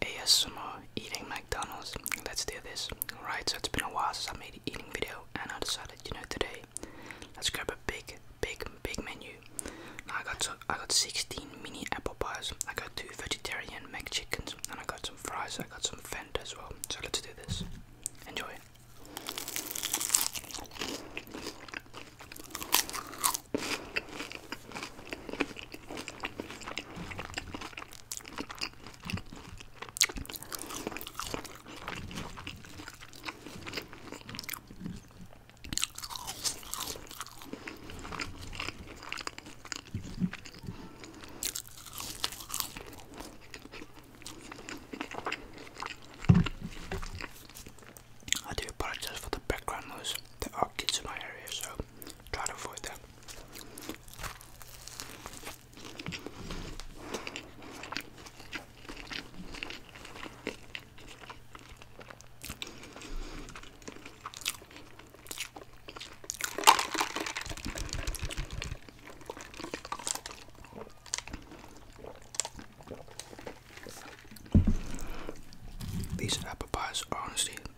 ASMR eating McDonald's. Let's do this. Alright, so it's been a while since I made an eating video and I decided, you know, today let's grab a big, big, big menu. Now I got I got 16 mini apple pies, I got two vegetarian McChickens, and I got some fries, I got some Fanta as well. So let's do this. Enjoy. I do apologize for the background noise. There are kids in my area, so try to avoid that. These apple pies are honestly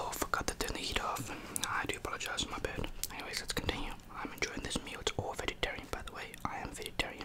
I forgot to turn the heat off. No, I do apologize, my bed. Anyways, let's continue. I'm enjoying this meal. It's all vegetarian, by the way. I am vegetarian.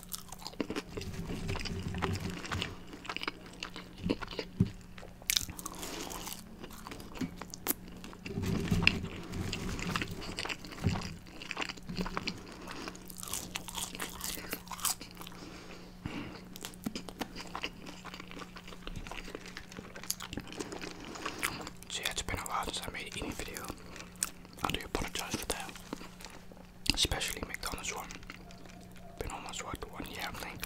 So yeah, it's been a while since I made an eating video. I do apologize for that especially McDonald's one. Been almost what one year, I think.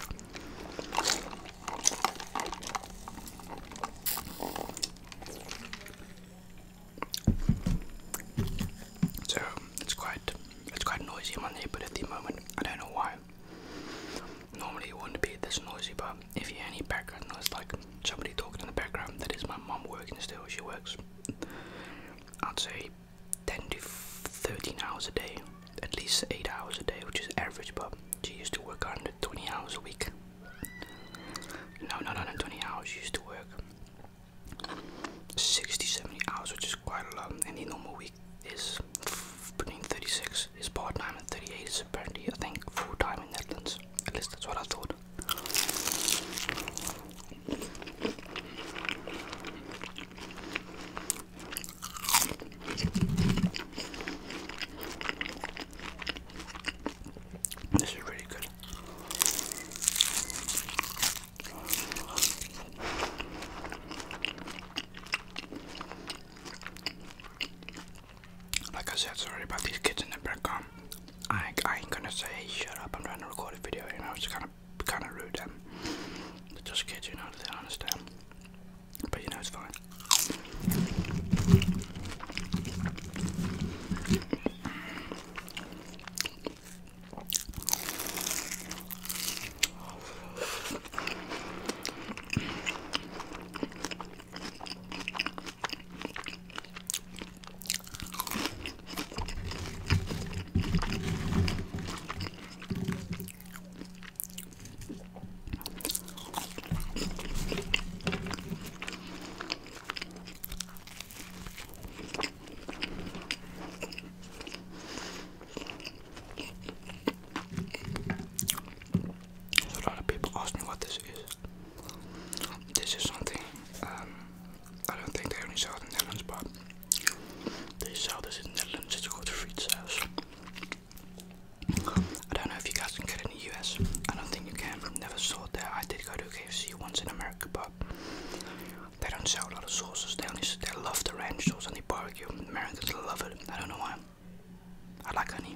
So it's quite it's quite noisy in my neighborhood at the moment. I don't know why. Normally it wouldn't be this noisy, but if you hear any background noise, like somebody talking in the background, that is my mom working still. She works, I'd say, 10 to 13 hours a day, at least 8 hours a day, which is average, but she used to work 120 hours a week. No, not 120 hours, she used to work 60 70 hours, which is quite a lot. Any normal week is between 36 is part time and 38 is apparently, I think, full time in Netherlands. At least that's what I thought. This is really good. Like I said, sorry about these kids in the background. I, I ain't gonna say, hey, shut up, I'm trying to record a video, you know, it's kind of kind of kind of rude them. Um, They're just kids, you know. They don't understand. But you know it's fine. A lot of people ask me what this is. This is something um, I don't think they only sell in the Netherlands, but they sell this in the Netherlands. It's called Fruit Sales. I don't know if you guys can get it in the US. I don't think you can. Never saw that. I did go to KFC once in America, but they don't sell a lot of sauces. They only they love the ranch sauce and the barbecue. Americans love it. I don't know why. I like honey.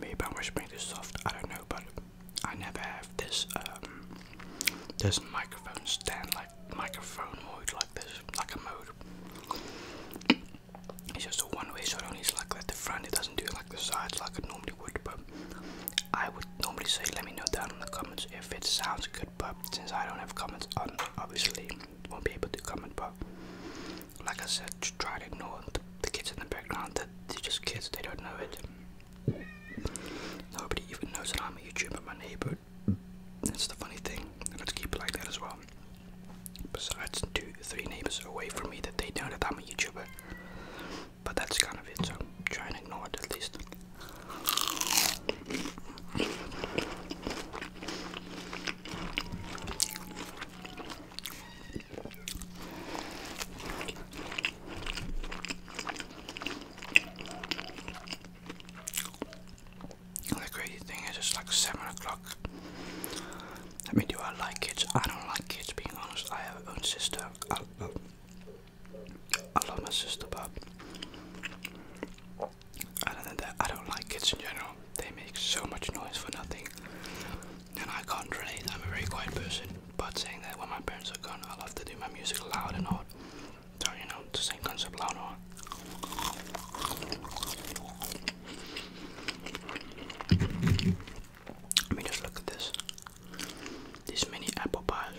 Maybe I'm whispering this soft, I don't know, but I never have this um, this microphone stand like microphone mode like this, like a mode. It's just a one-way, so it only is like at the front, it doesn't do it like the sides like it normally would, but I would normally say let me know down in the comments if it sounds good, but since I don't have comments on um, obviously won't be able to comment, but like I said, try to ignore the, the kids in the background. That they're just kids; they don't know it. Nobody even knows that I'm a YouTuber. My neighbor. That's the funny thing. Let's keep it like that as well. Besides, two, three neighbors away from me that they know that I'm a YouTuber. But that's kind of it. So try and ignore it at least. The crazy thing is, it's like 7 o'clock. I mean, do I like kids? I don't like kids, being honest. I have my own sister. I, love my sister, but I don't like kids in general. They make so much noise for nothing. And I can't relate, I'm a very quiet person. But saying that when my parents are gone, I love to do my music loud and hard. So, you know, the same concept loud and all. I mean, just look at this. These mini apple pies.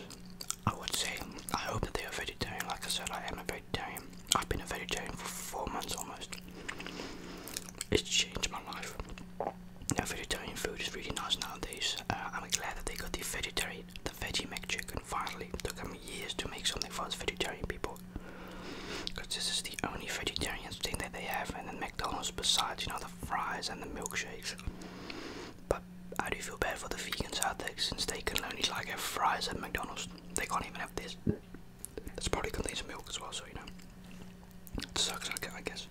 I would say, I hope that they are vegetarian. Like I said, I am a vegetarian. I've been a vegetarian for four months almost. It's changed my life. Now vegetarian food is really nice nowadays. Uh, I'm glad that they got the vegetarian, the veggie mac chicken. finally. It took them years to make something for us vegetarian people. Because this is the only vegetarian thing that they have, and then McDonald's besides, you know, the fries and the milkshakes. But I do feel bad for the vegans out there since they can only like have fries at McDonald's. They can't even have this. That's probably contains milk as well, so you know. It sucks, I guess.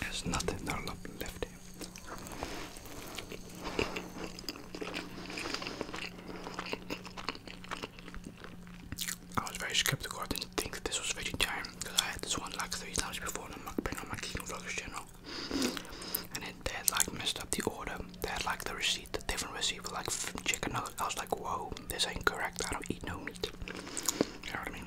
There's nothing there left I was very skeptical. I didn't think that this was vegetarian because I had this one like three times before on my, on my King Vlogs channel, and it they had like messed up the order. They had like the receipt, the different receipt for like chicken nuggets. I was like, whoa, this ain't correct. I don't eat no meat. You know what I mean?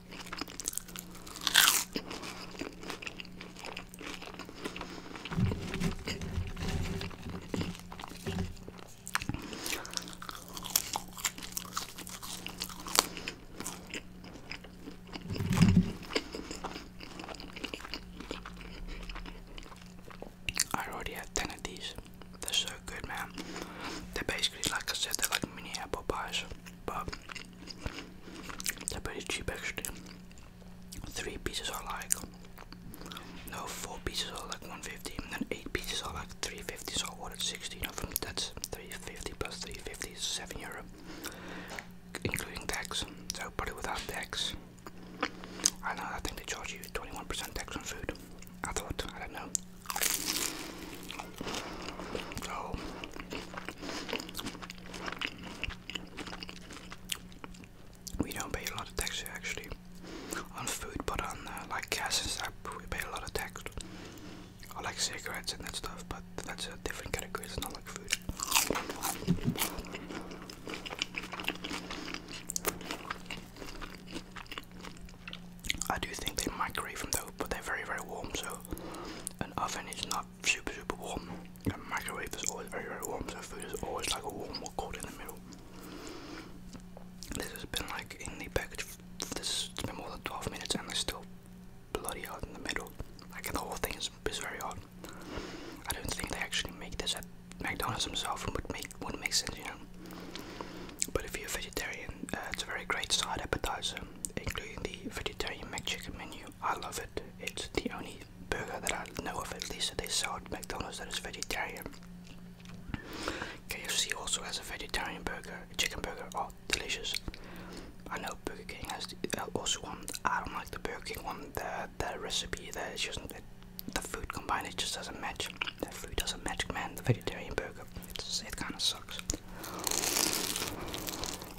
I already had 10 of these. They're so good, man. They're basically, like I said, they're like mini apple pies, but they pretty cheap actually. Three pieces are like no four pieces are like 150 and then eight pieces are like 350 so I ordered 16 of them that's 350 plus 350 is 7 euro including tax so probably without tax I know I think they charge you 21% tax on food I thought I don't know so we don't pay a lot of tax actually on food, but on uh, like gas and stuff, we pay a lot of tax. I like cigarettes and that stuff, but that's a different category, it's not like food. I do think they migrate from the but they're very, very warm, so an oven is not super super warm. The microwave is always very very warm, so food is always like a warm or cold in the middle. This has been like in the package. This has been more than 12 minutes, and it's still bloody hot in the middle. Like the whole thing is, is very hot. I don't think they actually make this at McDonald's themselves, would make would make sense, you know. But if you're a vegetarian, uh, it's a very great side appetizer, including the vegetarian McChicken menu. I love it. It's the only burger that I know of, at least that they sell at McDonald's, that is vegetarian. KFC also has a vegetarian burger, a chicken burger. Oh, delicious! I know Burger King has uh, also one. I don't like the Burger King one. The the recipe there is just the food combined. It just doesn't match. The food doesn't match, man. The vegetarian burger. it kind of sucks.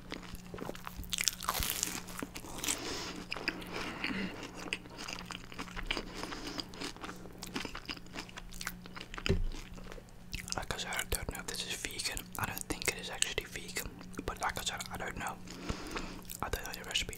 Like I said, I don't know if this is vegan. I don't think it is actually vegan, but like I said, I don't know. I don't know the recipe.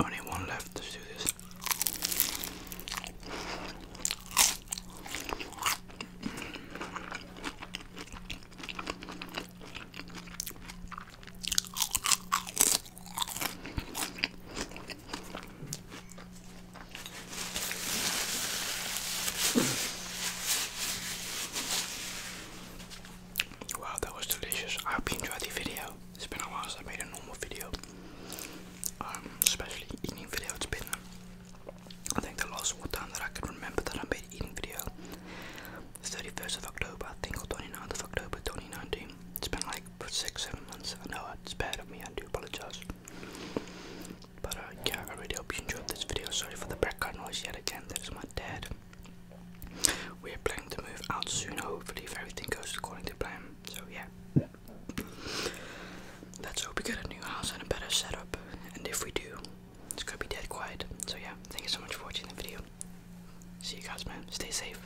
Only one left to do this. Wow, that was delicious. I hope you enjoyed the video. It's been a while since I made a normal video, um, especially eating video. It's been, I think, the last one time that I can remember that I made an eating video. 31st of October, I think, or 29th of October 2019. It's been like six, seven months. I know it's bad of me, I do apologize. But uh, yeah, I really hope you enjoyed this video. Sorry for the background noise yet again. That is my dad. We're planning to move out soon, hopefully, if everything goes according to plan. So yeah. Let's hope we get a new house and a better setup. And if we do, it's gonna be dead quiet. So yeah, thank you so much for watching the video. See you guys, man. Stay safe.